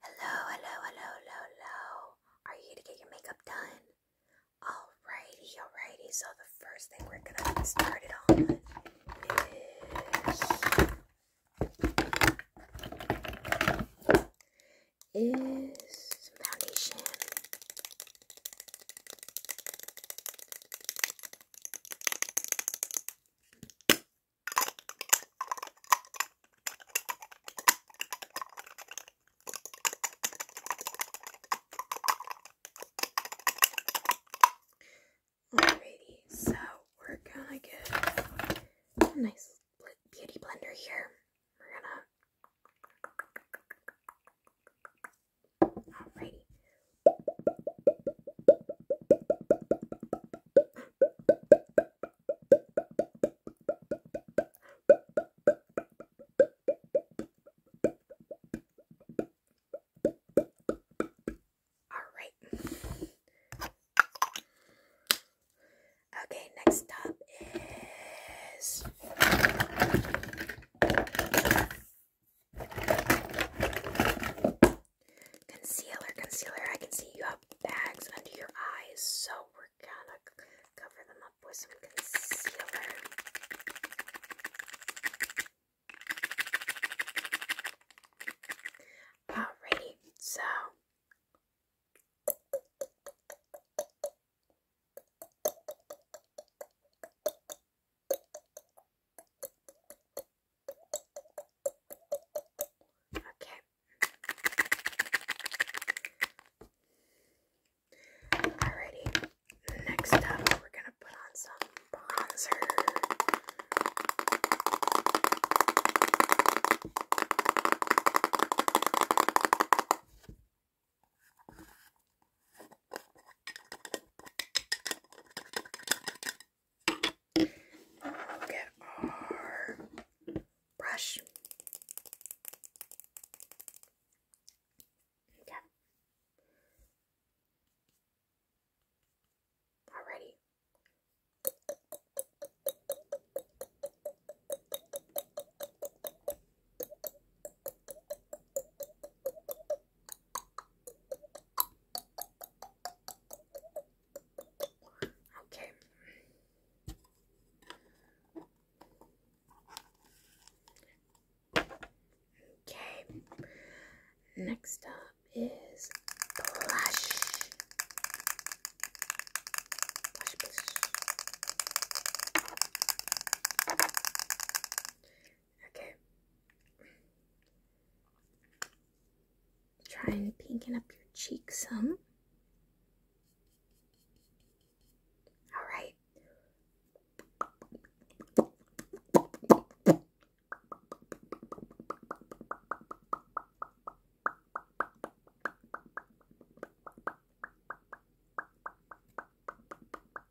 Hello, hello, hello, hello, Are you here to get your makeup done? Alrighty, alrighty. So the first thing we're gonna start it on is is foundation. Alrighty, so we're gonna get a nice beauty blender here. Alrighty, Alright. Okay, next up is Concealer, concealer. I can see you have bags under your eyes, so we're gonna cover them up with some concealer. Alrighty, so. Okay. Alrighty. Next up, we're gonna put on some bronzer. Get our brush. Okay. Already. Okay. Okay. Next up is plush. Blush, blush. Okay. Try and pinken up your cheeks some. All right.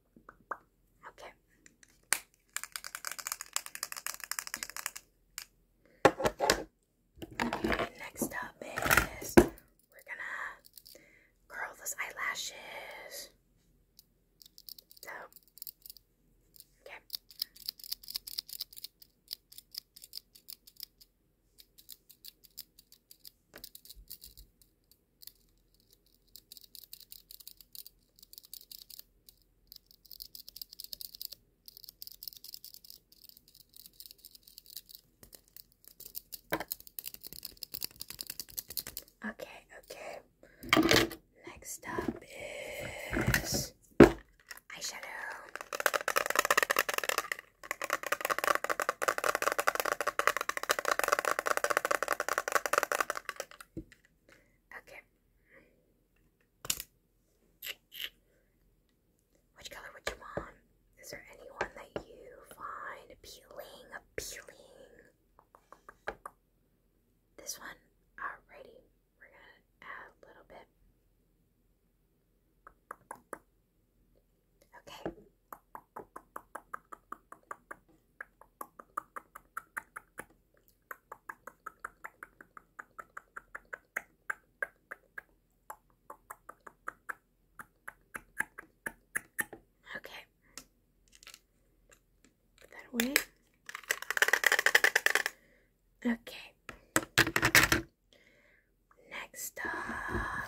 Okay. next up is we're gonna curl those eyelashes. So, Okay. Okay, okay. Next up is eyeshadow. Okay. Which color would you want? Is there anyone that you find appealing? Appealing? This one? Alrighty. We're gonna add a little bit. Okay. Okay. Put that away. Okay. Next up,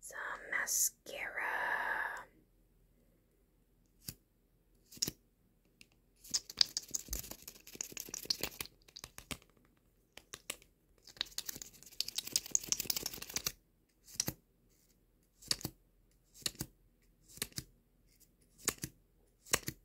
some mascara.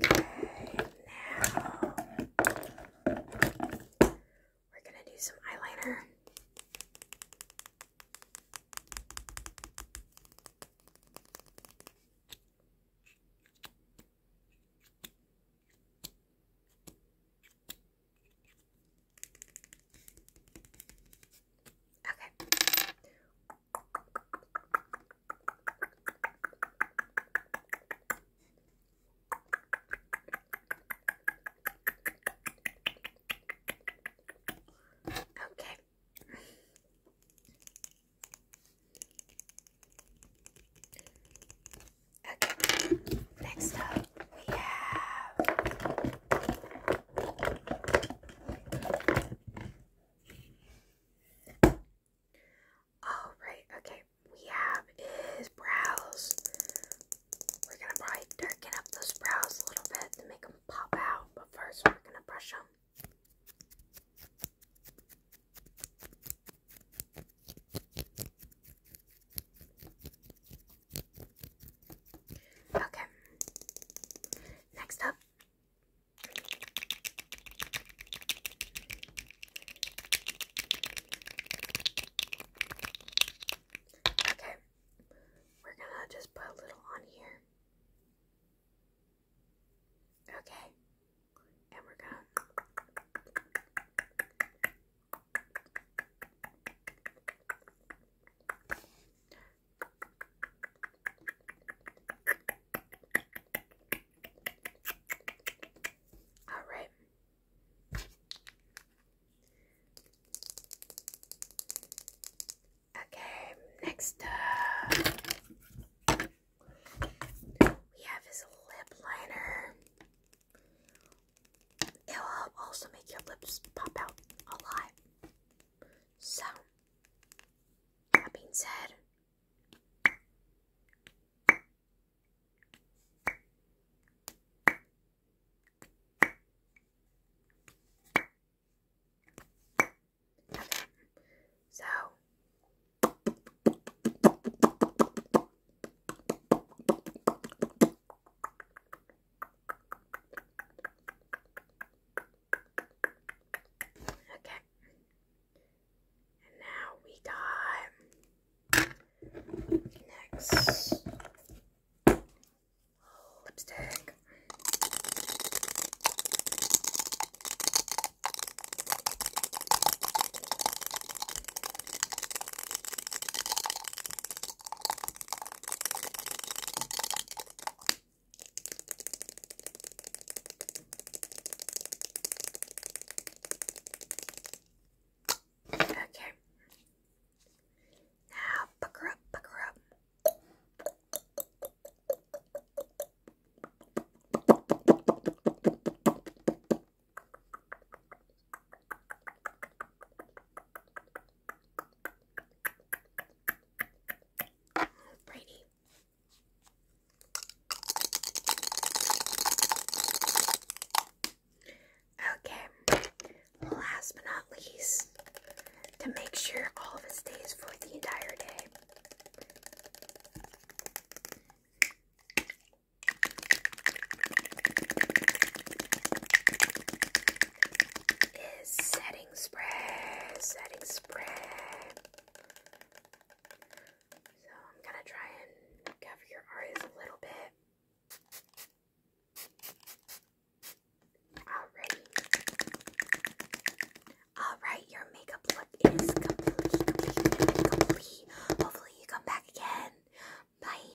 Okay, now we're gonna do some eyeliner. Okay. Okay. Okay. Next up, we have all oh, right, okay. We have is brows. We're gonna probably darken up those brows a little bit to make them pop out, but first we're gonna brush them. Okay. Next up, Okay, we're gonna just put a little on here. Okay, and we're gonna. All right. Okay, next up we have his lip liner. It'll also make your lips pop out a lot. So, that being said, so Okay. And now we got next lipstick. Okay. Now pucker up, pucker up. Brady. Okay, last but not least, to make sure all of it stays for the entire day is setting spray, setting spray. So I'm gonna try and cover your eyes a little bit. Alrighty. Alright, your makeup look is complete, complete, complete. Hopefully you come back again. Bye.